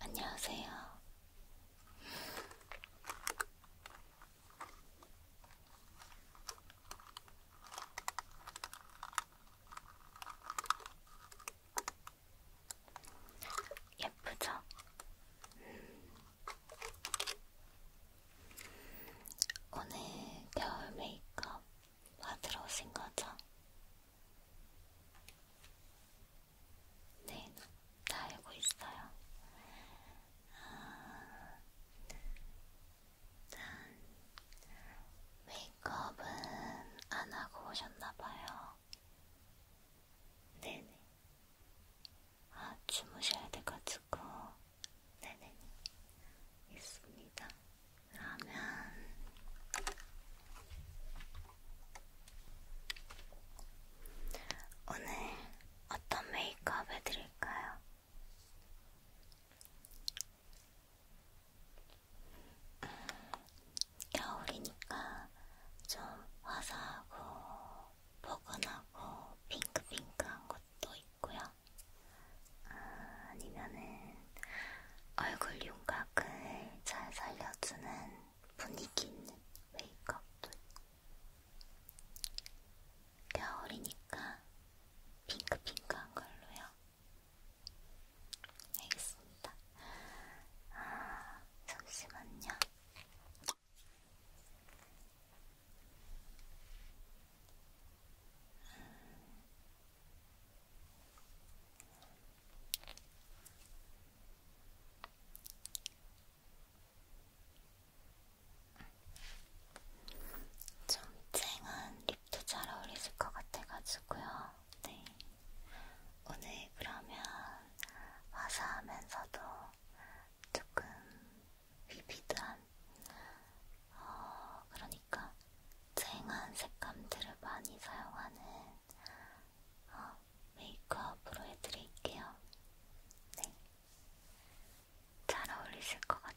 안녕하세요. 예쁘죠? 오늘 겨울 메이크업 받으러 오신 거죠? 네, 다 알고 있어요. 아, 짠. 메이크업은 안 하고 오셨나봐요. 네네. 아, 주무셔야 돼가지고. 네네, 있습니다. 그러면 오늘 어떤 메이크업 해드릴까요? 음, 겨울이니까 좀 화사하고 포근하고 핑크핑크한 것도 있고요. 아, 아니면은 얼굴 윤곽을 잘 살려주는 분위기 있는 메이크업도 겨울이니까 핑크핑크한 걸로요. 알겠습니다. 아, 잠시만요. 정쟁은 립도 잘 어울리실 것 같아가지고요. 네. 오늘 그러면 화사하면서도 조금 비비드한 어, 그러니까 쨍한 색감들을 많이 사용하는 어, 메이크업으로 해드릴게요. 네. 잘 어울리실 것 같아요.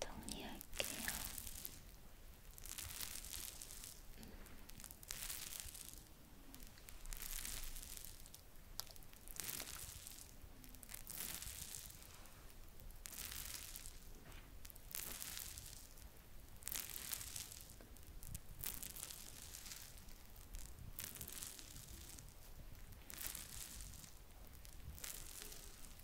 정리할게요. 음.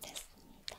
됐습니다.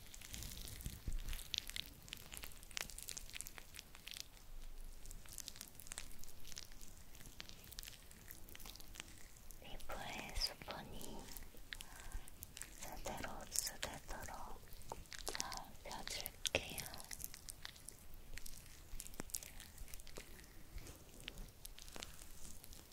피부에 수분이 제대로 흡수되도록 잘 펴줄게요. 그럼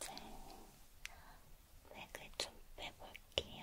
이제 맥을 좀 빼볼게요.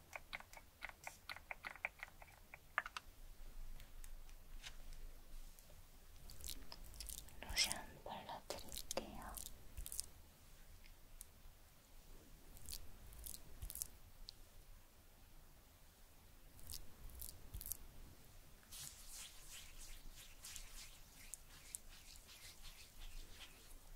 로션 발라드릴게요.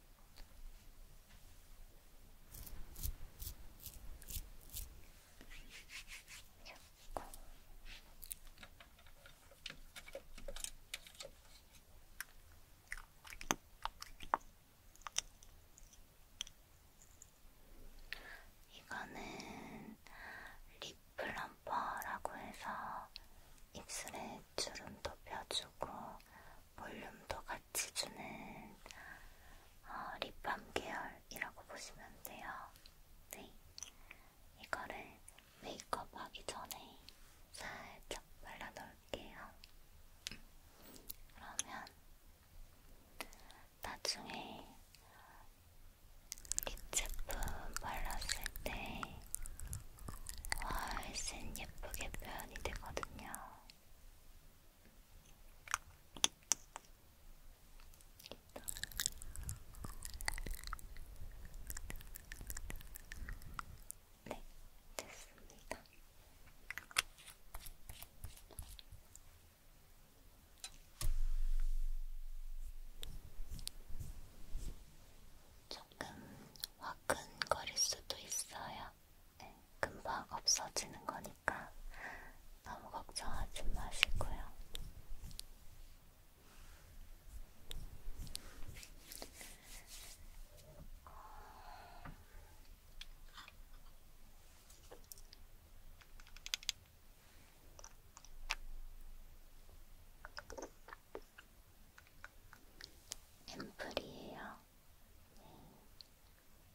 잡고 이거는 립플럼퍼라고 해서 입술에 주름도 펴주고 볼륨도 같이 같이 주는 어, 립밤 계열이라고 보시면 돼요. 네. 이거를 메이크업 하기 전에 살짝 발라놓을게요. 그러면 나중에 립 제품 발랐을 때 훨씬 예쁘게 표현이 되거든요. 네, 됐습니다. 조금 화끈거릴 수도 있어요. 네, 금방 없어지는 거니까 너무 걱정하지 마시고요. 앰플이에요. 네.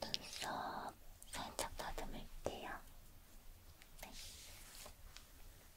눈썹 살짝 다듬을게요. 네.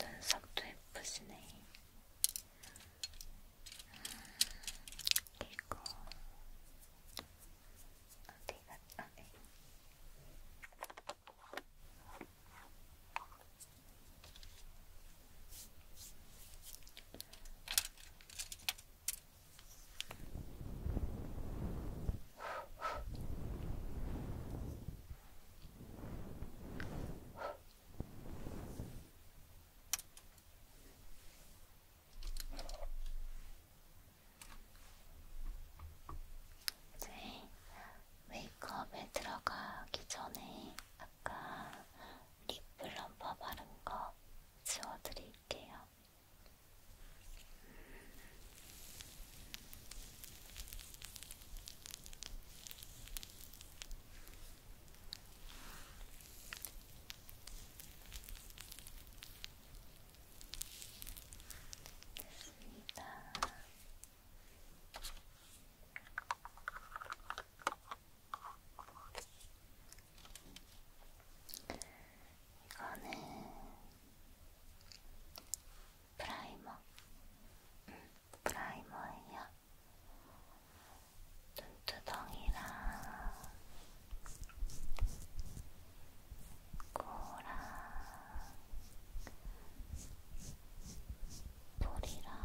눈썹도 예쁘시네. 이거 음, 어디가? 아, 네. 이제 메이크업에 들어가기 전에 아까 립 블럼퍼 바른 거 지워드릴게요. 됐습니다. 이거는 프라이머. 음, 프라이머예요. 눈두덩이랑 코랑 볼이랑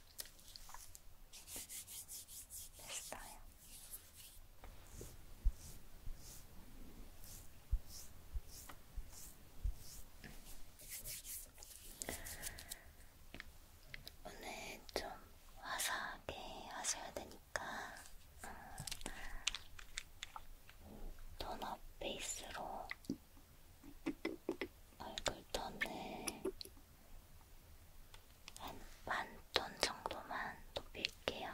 됐어요. 오늘 좀 화사하게 하셔야 되니까 음, 어, 톤업 베이스로 얼굴 톤을 한 반 톤 정도만 높일게요.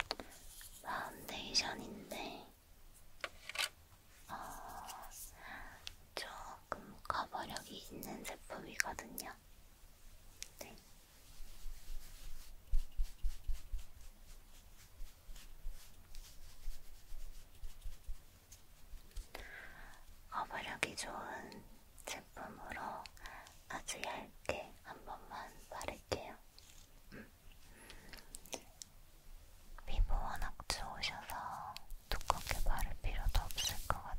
이거는 파운데이션인데 어, 조금 커버력이 있는 제품이거든요. 네. 커버력이 좋은 제품으로 아주 얇게 한 번만 바를게요. 음. 피부 워낙 좋으셔서 두껍게 바를 필요도 없을 것 같아요.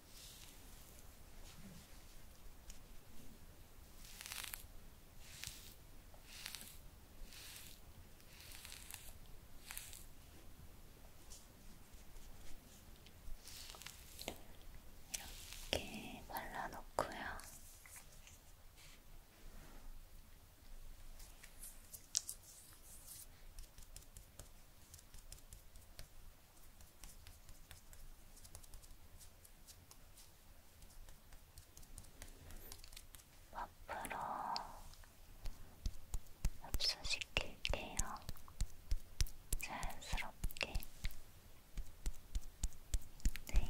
이렇게 발라놓고요. 앞으로 흡수시킬게요. 자연스럽게. 네.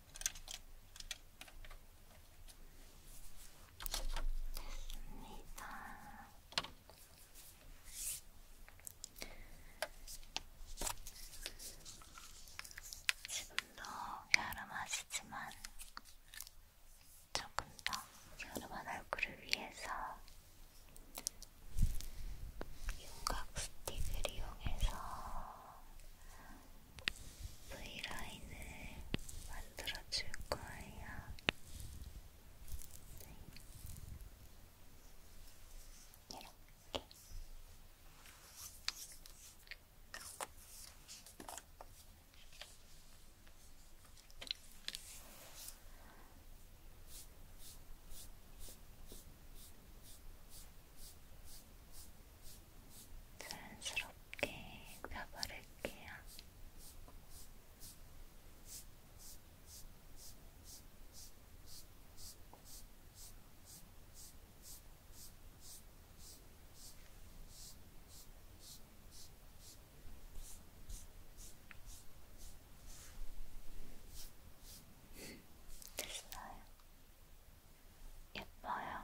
됐습니다. 지금도 여름하시지만 조금 더 여름한 얼굴을 위해서 윤곽 스틱을 이용해서 V라인을 만들어줄 거예요. 네. 이렇게. 자연스럽게 펴바를게요. 됐어요. 예뻐요.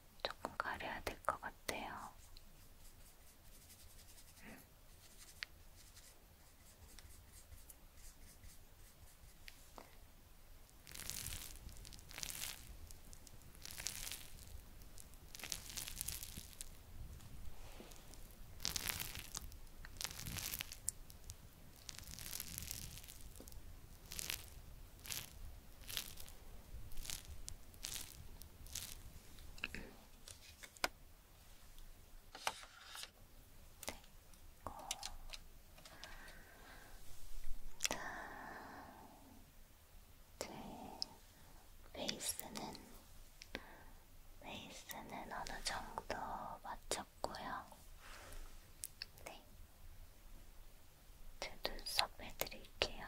조금 가려야 될 것 같아요. 음. 제 네. 베이스는 베이스는 어느 정도 맞췄고요. 네. 제 눈썹 해드릴게요.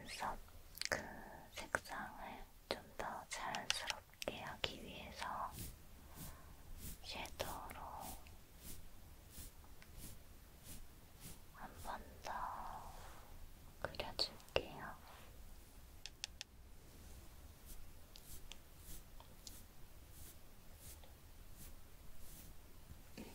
눈썹 그 색상을 좀 더 자연스럽게 하기 위해서 섀도우로 한번더 그려줄게요. 이렇게.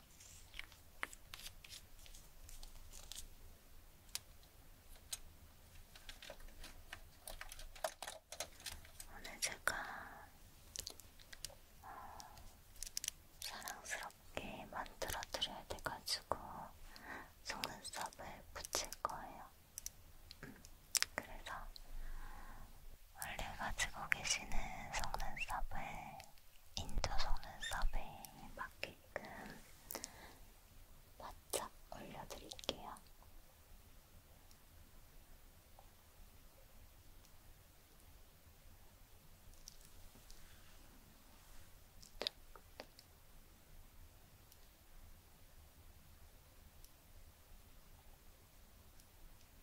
오늘 제가 어, 사랑스럽게 만들어 드려야 돼가지고 속눈썹을 붙일 거예요. 음, 그래서 원래 가지고 계시는 속눈썹을 인조 속눈썹에 맞게끔 바짝 올려드릴게요.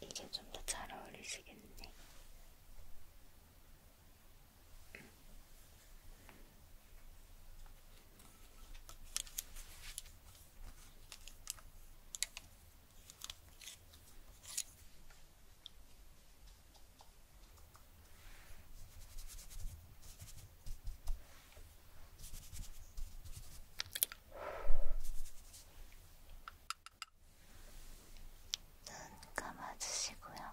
이게 좀 더 잘 어울리시겠네. 음. 눈 감아주시고요.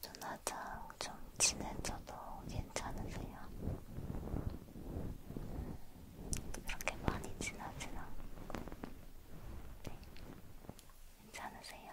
전화장 좀 친해져도 괜찮으세요? 그렇게 많이 친하진 않고 네. 괜찮으세요?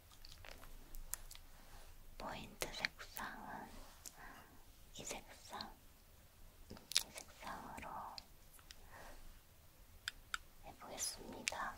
포인트 색상은 이 색상, 이 색상으로 해보겠습니다.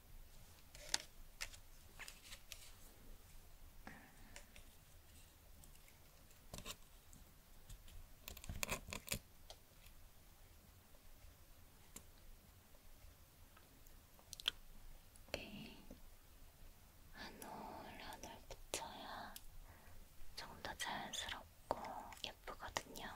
이렇게 한올 한올 붙여야 조금 더 자연스럽고 예쁘거든요.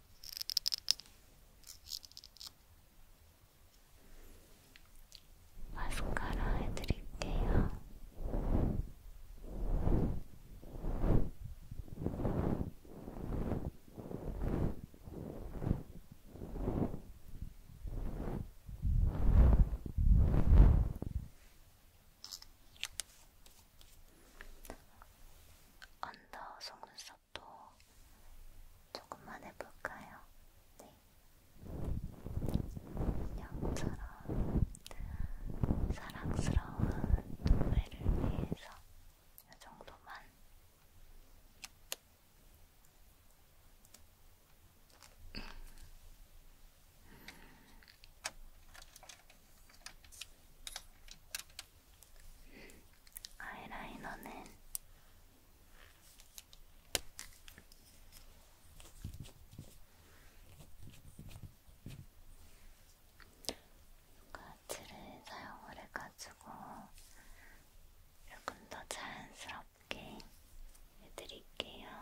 마스카라 아, 해드릴게요. 언더 속눈썹 또 조금만 해볼까요? 네. 인형처럼 사랑스러운 동물을 위해서 이 정도만. 아이라이너는 가치를 사용을 해가지고 조금 더 자연스럽게 해드릴게요.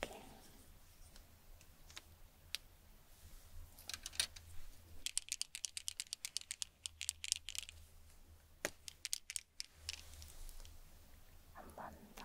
이렇게. 한번 더.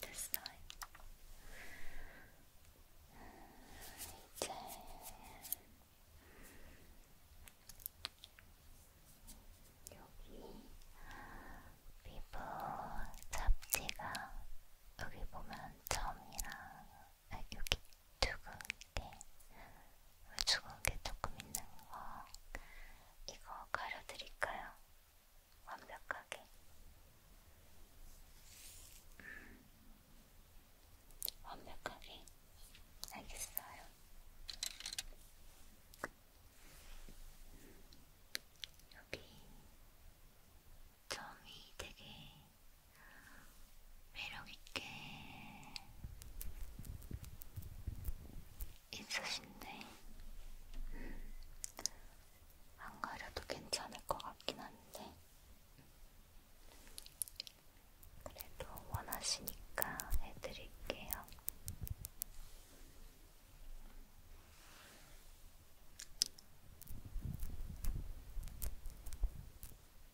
됐어요. 이제 여기 피부 잡지가 여기 보면 점이랑 아, 여기 두근 게 죽은 게 조금 있는 거 이거 가려드릴까요? 완벽하게 음. 완벽하게 알겠어요. 여기 점이 되게 매력있게 있으신데 음, 안 가려도 괜찮을 것 같긴 한데 그래도 원하시니까 해드릴게요.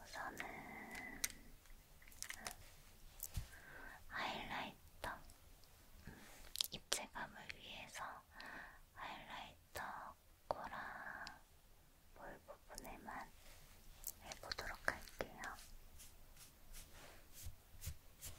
우선은 하이라이터 음, 입체감을 위해서 하이라이터 코랑 볼 부분에만 해보도록 할게요. 음.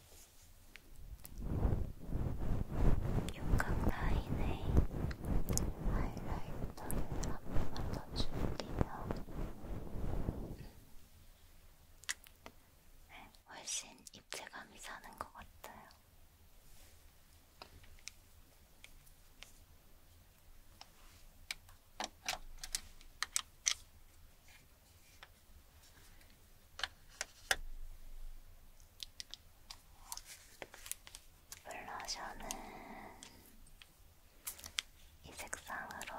육각 라인에 하이라이터를 한 번만 더 줄이면 훨씬 입체감이 사는 것 같아요. 블러셔는 이 색상으로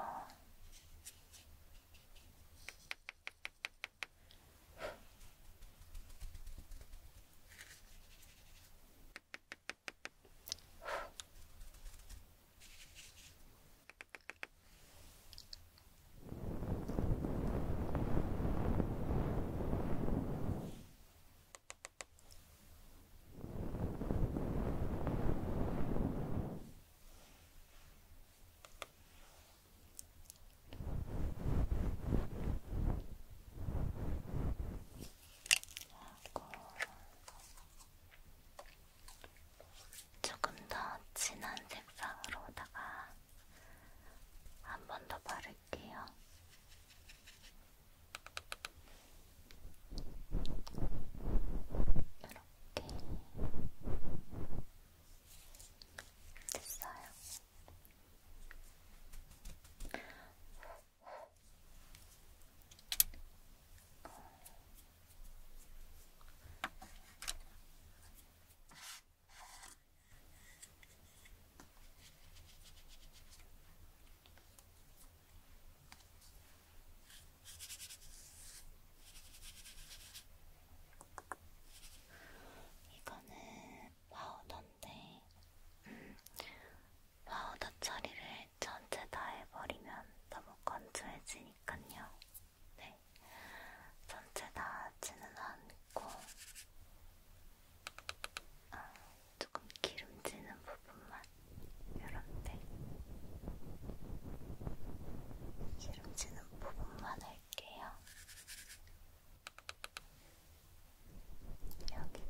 조금 더 진한 색상으로다가 한번더 바를게요. 이렇게 됐어요. 어. 이거는 파우더인데 음, 파우더 처리를 전체 다 해버리면 너무 건조해지니까요. 네. 있는데 전체 나지는 않고 아, 조금 기름지는 부분만 이런데 기름지는 부분만 할게요. 여기로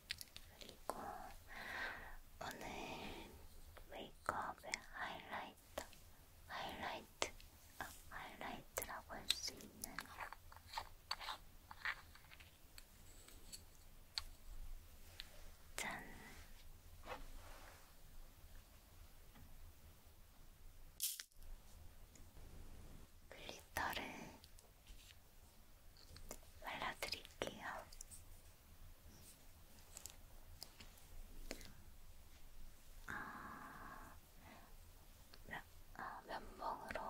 그리고 오늘 메이크업의 하이라이트, 하이라이트, 아, 하이라이트라고 할 수 있는 짠! 글리터를 발라드릴게요. 아, 면, 아, 면봉으로.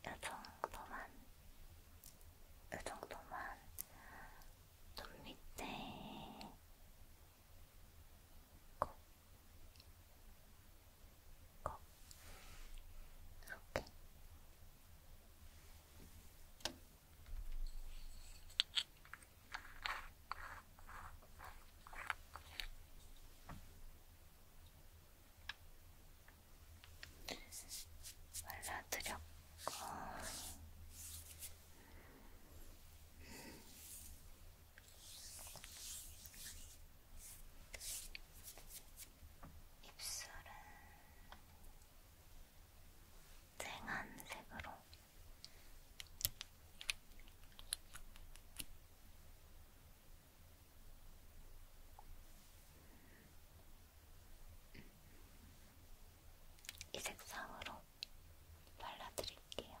이 정도만, 이 정도만, 눈 밑에, 코 거. 이렇게. 말라드렸고 입술은 쨍한 색으로 이 색상으로 발라드릴게요.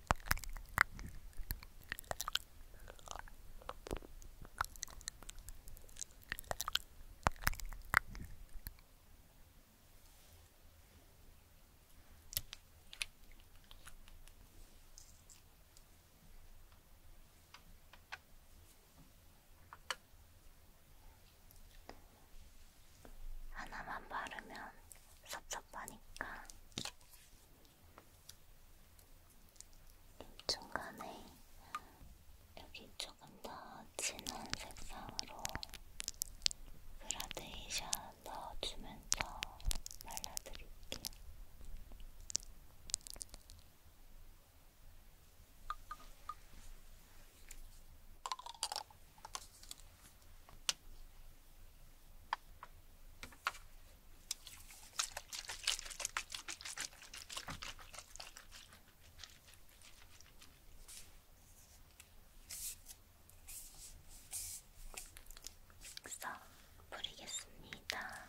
하나만 바르면 섭섭하니까 중간에 여기 조금 더 진한 색상으로 그라데이션 넣어주면서 발라드릴게요. 이렇게 믹서 뿌리겠습니다.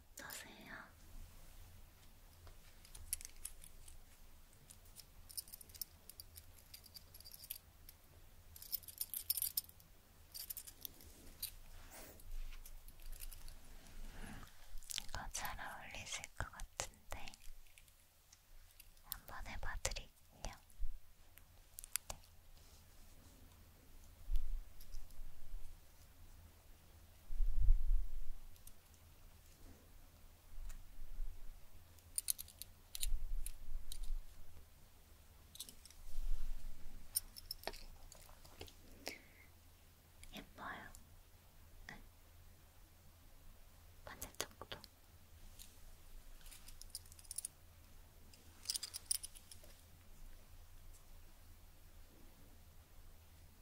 어떠세요? 이거 잘 어울리실 것 같은데 한번 해봐드릴게요. 네. 예뻐요. 응. 반짝짝도.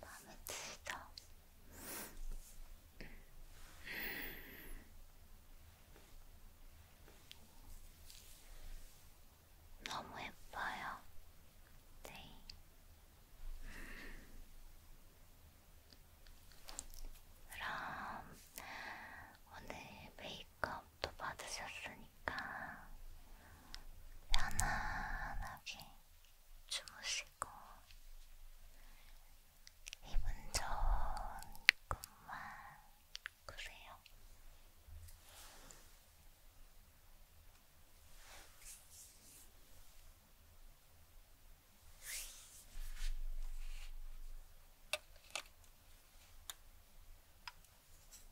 마음에 들죠? 너무 예뻐요. 네. 그럼 오늘 메이크업 메이크업도 받으셨으니까 편안하게 주무시고 기분 좋은 꿈만 꾸세요.